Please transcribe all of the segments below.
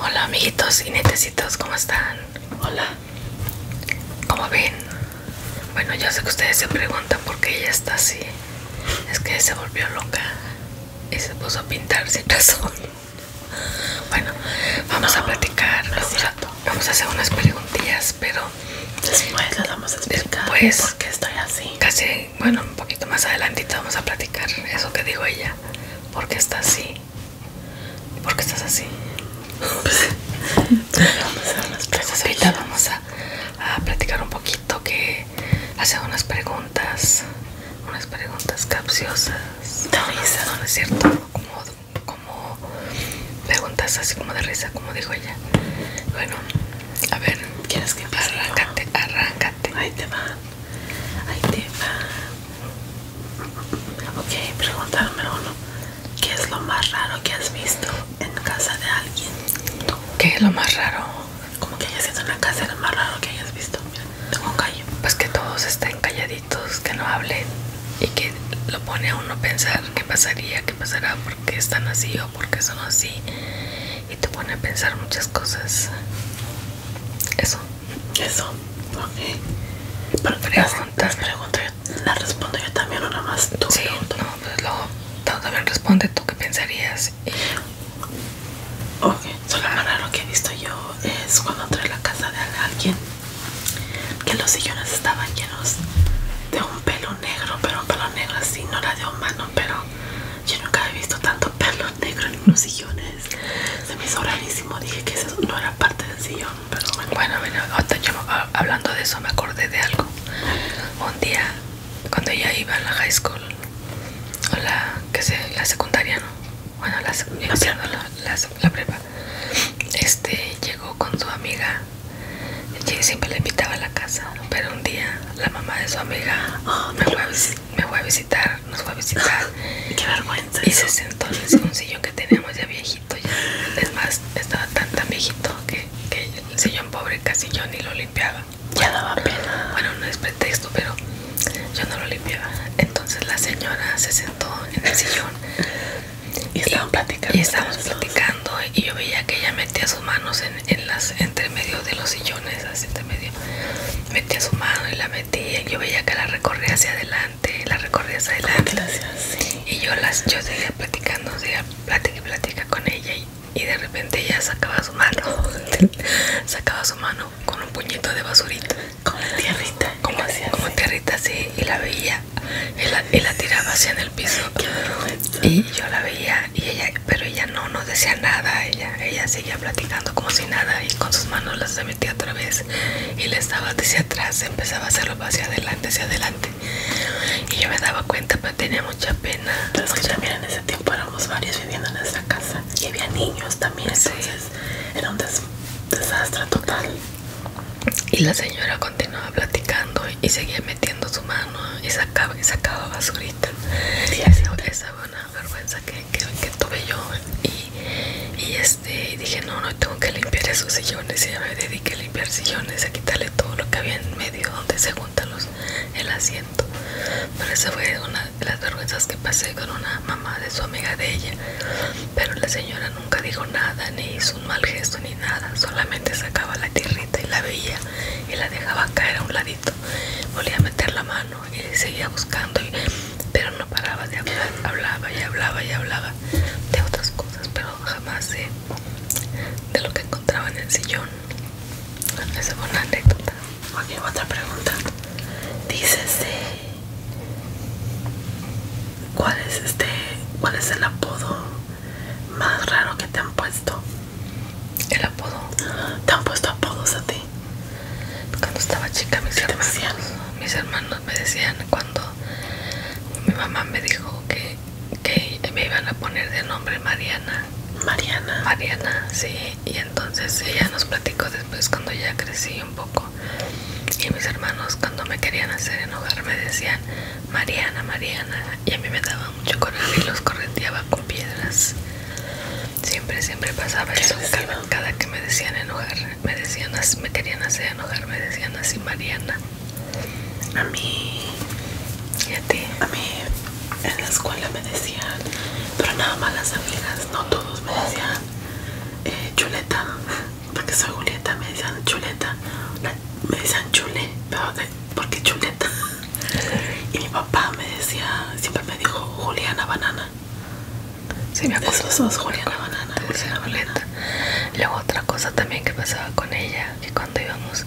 Hola amiguitos y netecitos, ¿cómo están? Hola. ¿Cómo ven? Bueno, yo sé que ustedes se preguntan por qué ella está así. Es que se volvió loca y se puso a pintar sin razón. Bueno, vamos a platicar. un rato vamos a hacer unas preguntillas, pero después las vamos a explicar pues por qué estoy así. Casi bueno, un poquito más adelantito vamos a platicar eso que dijo ella. ¿Por qué estás así? ¿Por qué estás así? vamos a Ahorita vamos a, platicar un poquito que hace unas preguntas, unas preguntas capciosas. De risa, no, es cierto, como, como preguntas así como de risa, como dijo ella. Bueno, a ver, ¿quieres que empiece? Arráncate, arráncate. Ahí te va. Ay, te Ok, preguntarme uno. ¿Qué es lo más raro que has visto en casa de alguien? ¿Qué es lo más raro? Como que hayas sido en la casa lo más raro que hayas visto. tengo Pues que todos estén calladitos, que no hablen y que lo pone a uno a pensar qué pasaría, qué pasará, por qué están así o por qué son así y te pone a pensar muchas cosas. Eso. Eso. Ok. Pero preguntas, preguntas las respondo yo también o nada más tú. Sí, no, pues luego también responde tú qué pensarías. Ok, solo lo que he visto yo es cuando entré a la casa de alguien que los sillones estaban llenos de un pelo negro, pero un pelo negro así, no era de humano, pero yo nunca había visto tanto pelo negro en unos sillones. Se me hizo rarísimo. Dije que eso no era parte del sillón, pero bueno. Bueno, ah, hablando de eso me acordé de algo. Un día, cuando ella iba a la high school, o la, que sé, la secundaria, ¿no? Bueno, la, secundaria, prepa. La, la, prepa. Este, llegó con su amiga. Siempre la invitaba a la casa, pero un día la mamá de su amiga me ah, fue a visitar me fue a visitar, nos fue a visitar. Qué vergüenza. Y se sentó en el sillón que teníamos ya viejito. Ya. Es más, estaba tan tan viejito que, el sillón pobre casi yo ni lo limpiaba. Ya daba pena. Bueno, no es pretexto, pero yo no lo limpiaba. Entonces la señora se sentó en el sillón. y estaban platicando. Y estábamos platicando y yo veía que ella metía sus manos en, las entre medio de los sillones a siete medio metía su mano y la metía yo veía que la recorría hacia adelante la recorría hacia adelante y yo las yo seguía platicando seguía plática y con ella y, de repente ella sacaba su mano sacaba su mano con un puñito de basurita como tierrita como, tierrita así y la veía y la, tiraba hacia en el piso y yo la veía y ella pero ella no no decía nada ella, ella seguía platicando como si nada y con sus manos las metía otra vez y le estaba hacia atrás, empezaba a hacerlo hacia adelante, hacia adelante y yo me daba cuenta pero tenía mucha pena. Pero es que también en ese tiempo éramos varios viviendo en esa casa y había niños también, entonces era un desastre total. Y la señora continuaba platicando y seguía metiendo su mano y sacaba, y sacaba basurita. Sí, y esa, esa, vergüenza que, tuve yo y, y este dije no no tengo que limpiar esos sillones y me dediqué a limpiar sillones a quitarle todo lo que había en medio donde se juntan los el asiento pero esa fue una de las vergüenzas que pasé con una mamá de su amiga de ella pero la señora nunca dijo nada ni hizo un mal gesto ni nada solamente sacaba la tierrita y la veía y la dejaba caer a un ladito volvía a meter la mano y seguía buscando pero no paraba de hablar hablaba y hablaba y hablaba de otras cosas pero jamás de, lo que encontraba en el sillón esa fue una anécdota ok otra pregunta dices este, ¿Cuál es este? ¿Cuál es el apodo más raro que te han puesto? El apodo. ¿Te han puesto apodos a ti? cuando estaba chica mis hermanos, mis hermanos me decían cuando mi mamá me dijo que, que me iban a poner de nombre Mariana. Mariana. Mariana, sí. Y entonces ella nos platicó después cuando ya crecí un poco. Y mis hermanos cuando me querían hacer enojar me decían Mariana, Mariana. Y a mí me daba mucho coraje y los correteaba con piedras. Siempre, siempre pasaba eso. Cada, que me decían enojar, me decían, me querían hacer enojar, me decían así, Mariana. A mí. ¿Y a ti? A mí en la escuela me decían, pero nada más las amigas, no todos me decían eh, chuleta, porque soy Julieta, me decían chuleta, me decían chule, pero porque chuleta. Y mi papá me decía, siempre me dijo Juliana Banana si me acuerdas Esos dos, Juliana banana, Luego otra cosa también que pasaba con ella, que cuando íbamos,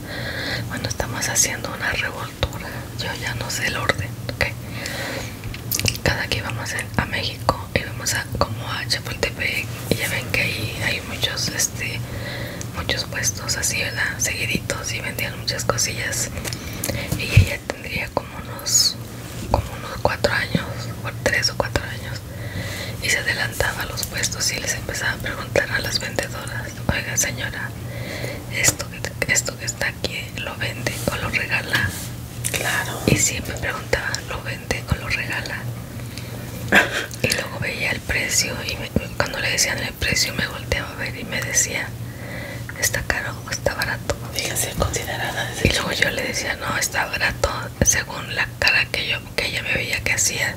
bueno, estamos haciendo una revoltura, yo ya no sé el orden, ¿ok? Cada que íbamos a México, íbamos a, como a Chapultepec, y ya ven que ahí hay muchos, este, muchos puestos así, ¿verdad? Seguiditos y vendían muchas cosillas. Y ella tendría como unos como unos cuatro años o tres o cuatro años y se adelantaba a los puestos y les empezaba a preguntar a las vendedoras oiga señora esto esto que está aquí lo vende o lo regala claro y siempre preguntaba lo vende o lo regala y luego veía el precio y cuando le decían el precio me volteaba a ver y me decía está caro está barato. Y luego yo le decía, no, está barato, según la cara que yo que ella me veía que hacía.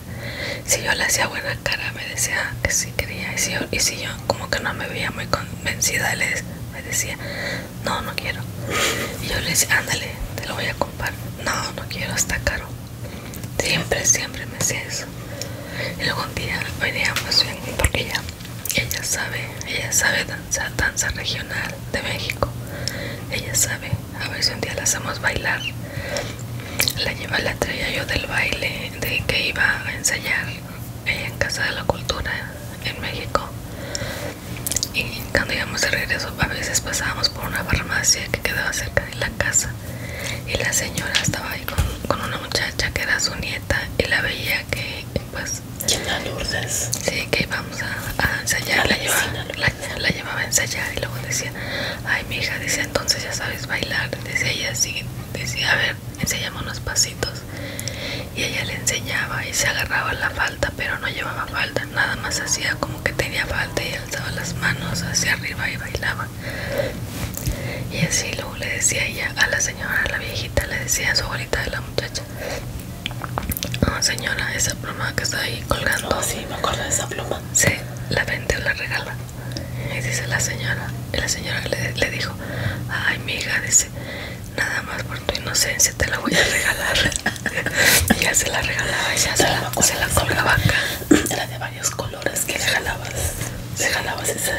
Si yo le hacía buena cara, me decía que sí quería. Y si yo, como que no me veía muy convencida, les, me decía, no, no quiero. Y yo le decía, ándale, te lo voy a comprar. No, no quiero, está caro. Siempre, siempre me hacía eso. Y luego un día veníamos bien, porque ya ella sabe, ella sabe danza, danza regional de México. Ella sabe, a ver si un día la hacemos bailar. La lleva la traía yo del baile de que iba a ensayar ella en Casa de la Cultura en México. Y cuando íbamos de regreso, a veces pasábamos por una farmacia que quedaba cerca de la casa. Y la señora estaba ahí con una muchacha que era su nieta y la veía que pues Lourdes sí que íbamos a, ensayar la, llevaba, la, a ensayar y luego decía ay mi hija dice entonces ya sabes bailar decía ella sí decía a ver ensayamos unos pasitos y ella le enseñaba y se agarraba la falda pero no llevaba falda nada más hacía como que tenía falda y alzaba las manos hacia arriba y bailaba y así luego le decía ella a la señora a la viejita le decía a su abuelita de la muchacha señora, esa pluma que está ahí colgando. sí, me acuerdo de esa pluma. Sí, la vende o la regala. Y dice la señora. Y la señora le, dijo: Ay, mi hija, dice, nada más por tu inocencia te la voy a regalar. y ya se la regalaba, Y se, la, se la colgaba acá. Era de varios colores que regalabas. Regalabas esa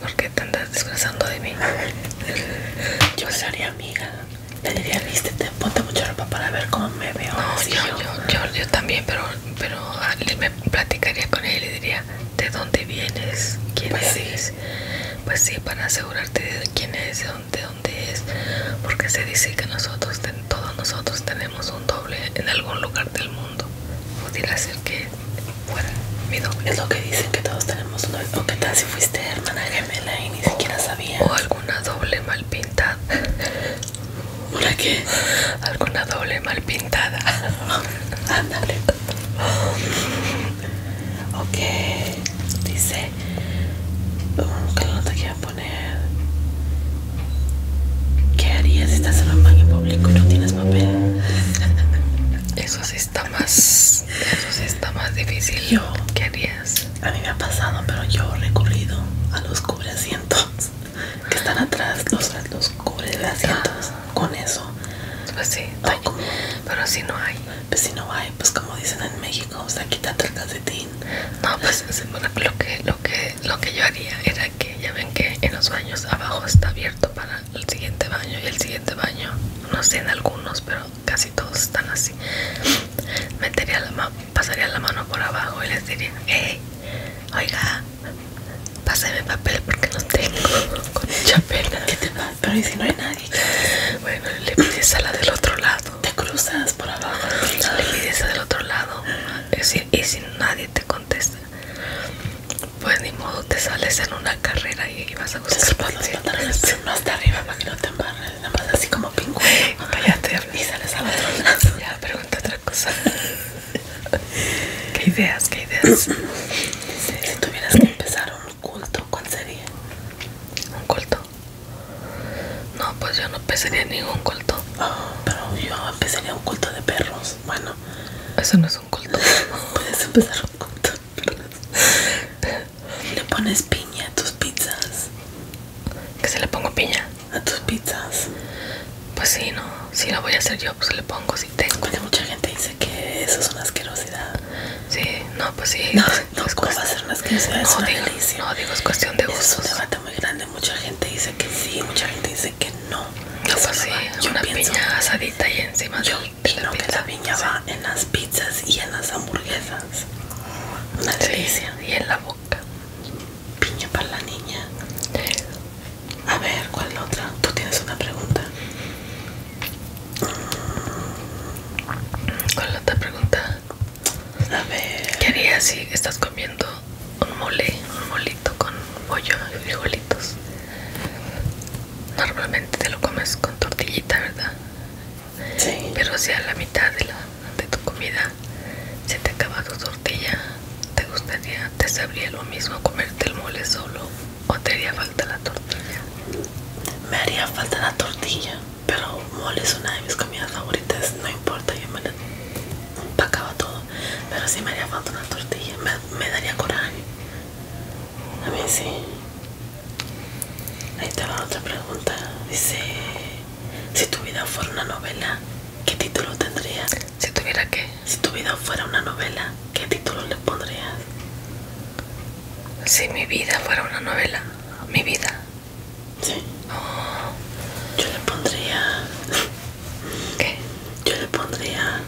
¿Por qué te andas disfrazando de mí? Yo sería amiga. Le diría, vístete, ponte mucha ropa para ver cómo me veo. yo, también, pero, pero ah, me platicaría con él y le diría, ¿de dónde vienes? ¿Quién pues eres? Pues sí, para asegurarte de quién es, de dónde, dónde es. Porque se dice que nosotros, todos nosotros tenemos un doble en algún lugar del mundo. Pudiera ser que bueno, Es lo que dicen que todos tenemos una. O que tal si fuiste hermana gemela y ni siquiera sabía. O alguna doble mal pintada. ¿Una qué? Alguna doble mal pintada. Ándale. ok, dice. Que ¿Qué te que poner? ¿Qué harías si estás en un en público y no tienes papel? Eso sí está más eso está más difícil yo ¿Qué harías? a mí me ha pasado pero yo he recurrido a los cubre que están atrás los, los cubre ah. con eso pues sí pero si no hay pues si no hay pues como dicen en México o sea el calcetín no pues lo que lo que lo que yo haría era que ya ven que en los baños abajo está abierto para el siguiente baño y el siguiente baño no sé en algunos pero casi todos están así metería la mano pasaría la mano por abajo y les diría hey oiga pásame papel porque no tengo con mucha pena pero ¿y si no hay nadie bueno le pides a la del otro lado te cruzas por abajo le pides a la del otro lado y si, y si nadie te contesta pues ni modo, te sales en una carrera y vas a buscar no hasta arriba para que no te embarres, nada más así como pingüino. y sales a otro Ya, pregunta otra cosa. ¿Qué ideas? ¿Qué ideas? Si tuvieras que empezar un culto, ¿cuál sería? ¿Un culto? No, pues yo no empezaría ningún culto. Ah, pero yo empezaría un culto de perros. Bueno, eso no es un culto. Puedes empezar un culto. ¿Le pones piña a tus pizzas? ¿Que se le pongo piña? ¿A tus pizzas? Pues sí, no. Si la voy a hacer yo, pues le pongo si tengo. Porque mucha gente dice que eso es una asquerosidad. Sí, no, pues sí. No, no, ¿cómo va a ser una asquerosidad? es una digo, No, digo, es cuestión de gustos. Es un debate muy grande. Mucha gente dice que sí, mucha gente dice que no. No, pues sí, una piña asadita y encima yo Claro que la piña va en las pizzas y en las hamburguesas. Una delicia. Y en la boca. Piña para la niña. A ver, ¿cuál es la otra? Tú tienes una pregunta. ¿Cuál es la otra pregunta? A ver. ¿Qué harías si estás comiendo un mole, un molito con pollo y frijolitos? Normalmente te lo comes con tortillita, ¿verdad? Sí. Pero si a la mitad de, tu comida se te acaba tu tortilla, ¿te gustaría, te sabría lo mismo comerte el mole solo o te haría falta la tortilla? Me haría falta la tortilla, pero mole es una de mis comidas favoritas, no importa, yo me la empacaba todo, pero si me haría falta una tortilla, me, me daría coraje. A mí sí. Ahí está otra pregunta. Dice, si tu vida fuera una novela, ¿qué título tendrías? Si tuviera qué? Si tu vida fuera una novela, ¿qué título le pondrías? Si mi vida fuera una novela, mi vida. Sí. Oh. Yo le pondría... ¿Qué? Yo le pondría...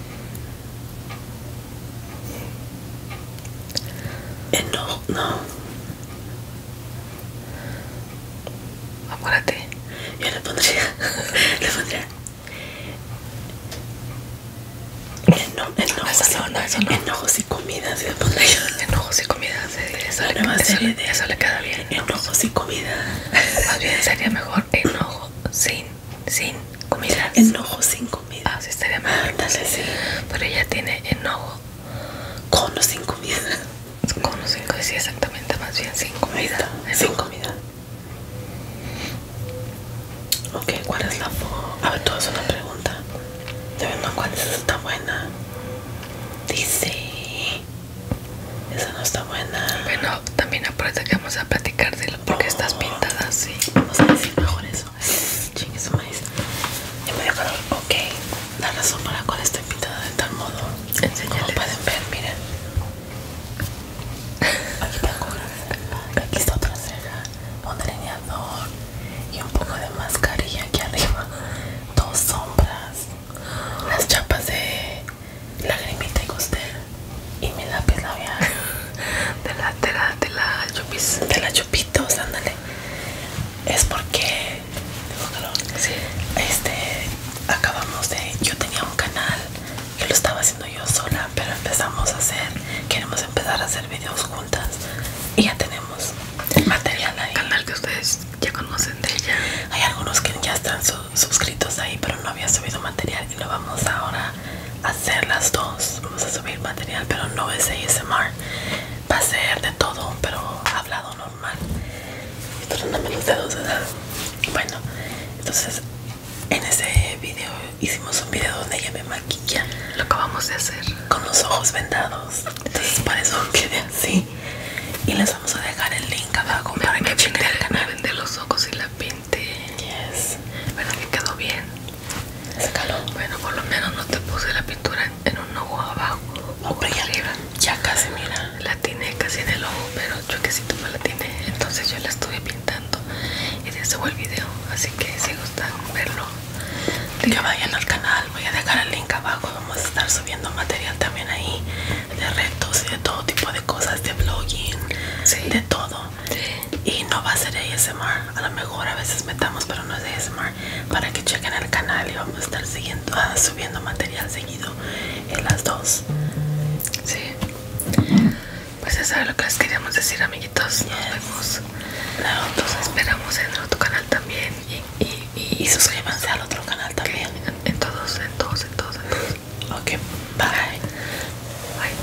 Enojo, eh, no, no. Yo le pondría. le pondría. enojo Enojo eso no, eso no. sin sin comida eso, le, eso, eso le queda bien Enojo sin comida sería mejor enojo sin sin comida. Enojo sin comida. Ah, sí, estaría sí. Pero ella tiene enojo. Con o sin comida. Con o sin comida, sí, exactamente. Más bien sin comida. Sin comida. Ok, ¿cuál es la foto? A ver, tú haces una pregunta. De ¿cuál es esa? Está buena. Dice. Esa no está buena. Bueno, también aparte que vamos a platicar de porque estás pintada así. Vamos a decir mejor eso eso. Chingue maíz. Y me dio calor. Ok. La razón por la cual estoy pintada de tal modo. Enseñale. pueden ver, miren. Aquí tengo una Aquí está otra ceja. Un delineador. Y un poco de mascarilla aquí arriba. Dos sombras. Las chapas de lagrimita y costel. Y mi lápiz labial de la de la de la chupitos ándale es porque este acabamos de yo tenía un canal que lo estaba haciendo yo sola pero empezamos a hacer queremos empezar a hacer videos juntas y ya tenemos material ahí canal que ustedes ya conocen de ella hay algunos que ya están suscritos ahí pero no había subido material y lo vamos ahora hacer las dos. Vamos a subir material, pero no es ASMR. Va a ser de todo, pero hablado normal. los dedos, Bueno, entonces en ese video hicimos un video donde ella me maquilla. Lo acabamos de hacer. Con los ojos vendados. Entonces para eso quede así. Y les vamos a dejar el link acá para que el canal. Me los ojos y la pinté. Yes. Bueno, que quedó bien el calor. Bueno, por lo menos no te puse la pintura en, un ojo abajo. o por ya, arriba. ya casi, mira. La tiene casi en el ojo, pero yo que si tú la tiene. Entonces yo la estuve pintando y de eso el video. Así que si gustan verlo, que vayan al canal. Voy a dejar el link abajo. Vamos a estar subiendo material también ahí de retos y de todo tipo de cosas, de blogging, de todo y no va a ser de ASMR. A lo mejor a veces metamos, pero no es de ASMR. Para que chequen el canal y vamos a estar ah, subiendo material seguido en las dos. Sí. Pues eso es lo que les queríamos decir, amiguitos. Nos vemos. nos esperamos en otro canal también. Y, y, suscríbanse al otro canal también. En, todos, en todos, en todos, Ok, Bye.